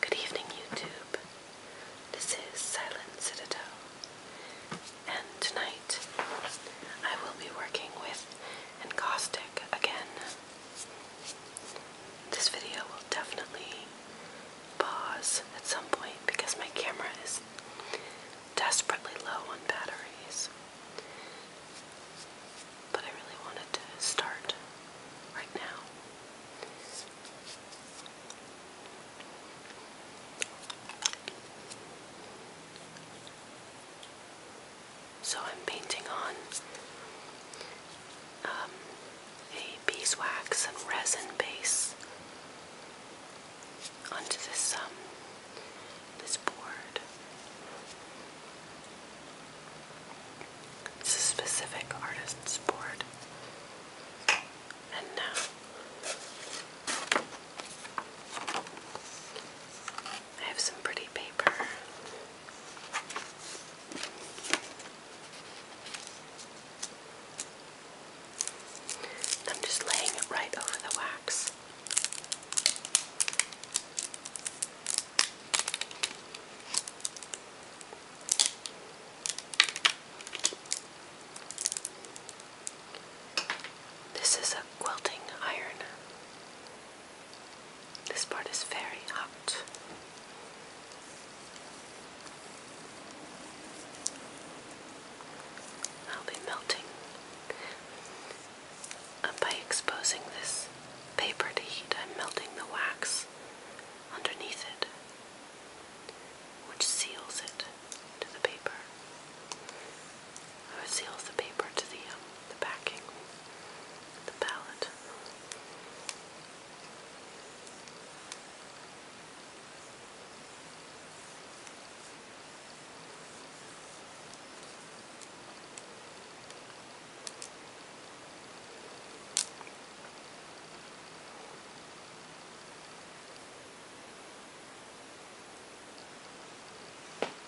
Good evening, YouTube. This is Silent Citadel, and tonight I will be working with encaustic again. This video will definitely pause at some point because my camera is desperately low on batteries. But I really wanted to start right now. So I'm painting on um, a beeswax and resin base onto this um, this board. It's a specific artist's board. And now I have some pretty paper I'm just laying it right over the wax. This is a quilting iron. This part is very hot. I'll be melting by exposing this paper to heat I'm melting the wax underneath it which seals it to the paper or seals the paper to the um, backing the palette.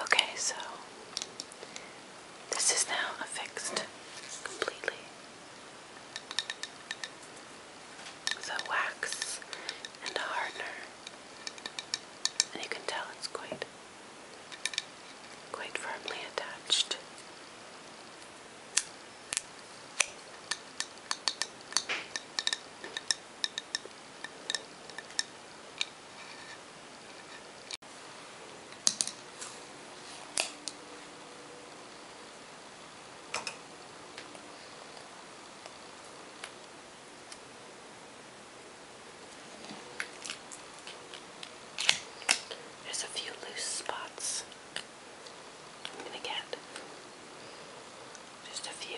Okay, so this is now affixed completely. The wax and a hardener. And you can tell it's quite quite firmly attached. There's a few loose spots. I'm going to get just a few.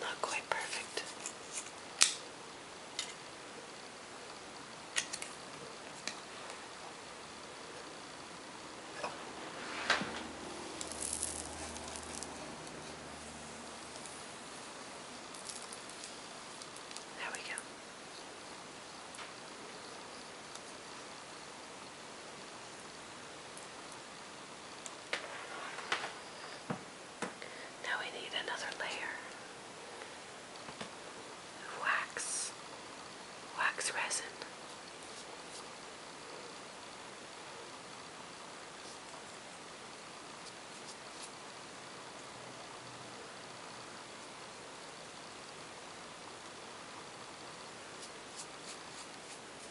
Not quite perfect. There we go. Now we need another layer of wax, wax resin.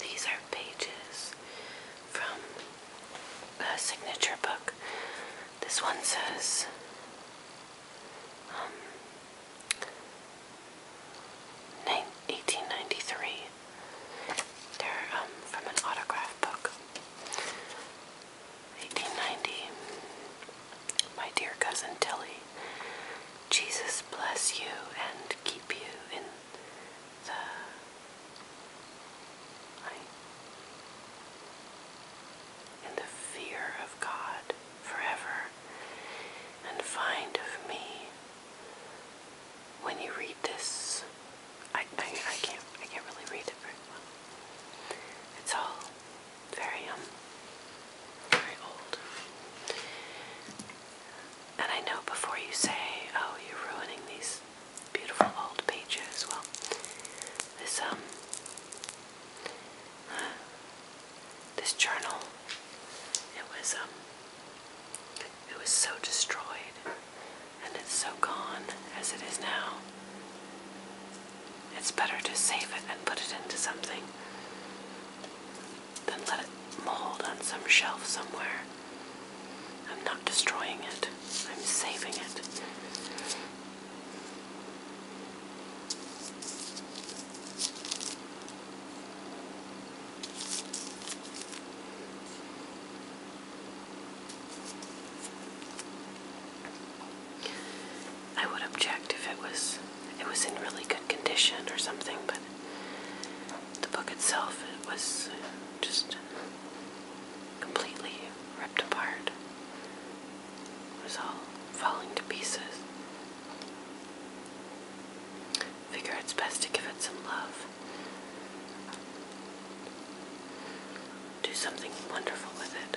These are pages from a signature book. This one says um, 1893. They're um, from an autograph book. 1890. My dear cousin Tilly, Jesus bless you and keep you in the. in the fear of God forever, and find of me when you read this, I, I can't I can't really read it very well. It's all very um very old. And I know before you say, oh, you're ruining these beautiful old pages. Well, this um this journal. It was um it was so destroyed and it's so gone as it is now. It's better to save it and put it into something than let it mold on some shelf somewhere. I'm not destroying it. I'm saving it. I would object if it was it was in really good condition or something, but the book itself it was just completely ripped apart. It was all falling to pieces. Figure it's best to give it some love. Do something wonderful with it.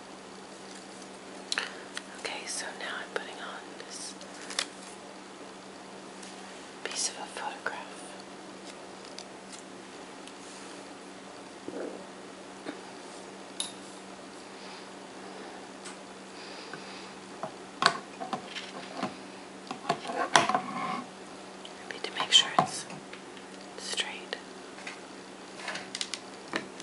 Okay, so now I'm putting on this piece of a photograph. need to make sure it's straight.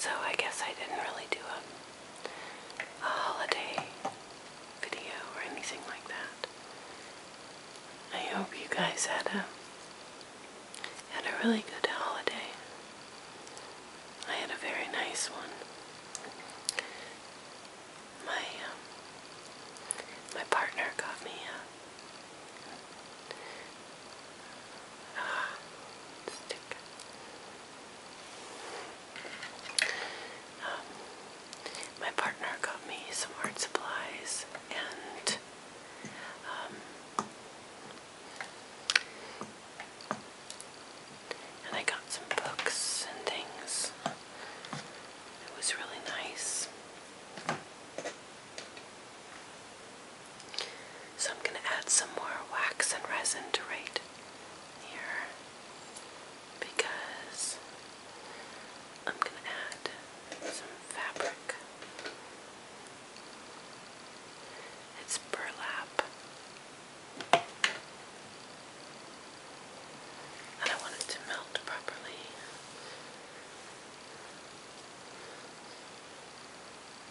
So I guess I didn't really do it a holiday video or anything like that. I hope you guys had a had a really good holiday. I had a very nice one. My um, my partner got me a, a ah, um, my partner got me some art supplies and um, and I got some books and things. It was really nice. So I'm going to add some more wax and resin to right here because I'm going to add some fabric. It's burlap. And I want it to melt properly.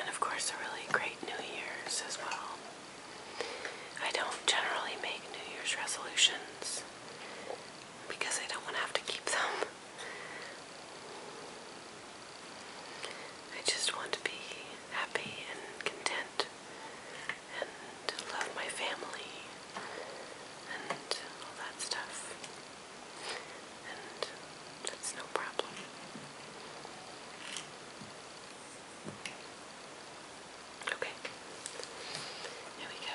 And of course, a really great New Year's as well. I don't generally make New Year's resolutions because I don't want to have to keep them. I just want to be happy and content and love my family and all that stuff. And that's no problem. Okay. Here we go.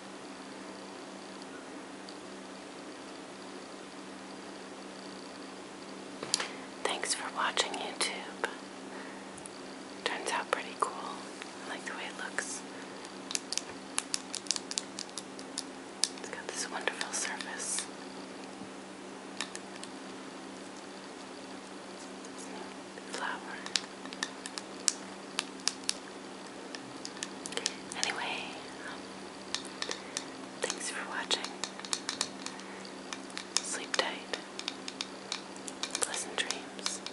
Thanks for watching YouTube. Turns out pretty cool. like the way it looks. It's got this wonderful surface. Flower. Anyway, um, thanks for watching. Sleep tight. Pleasant dreams.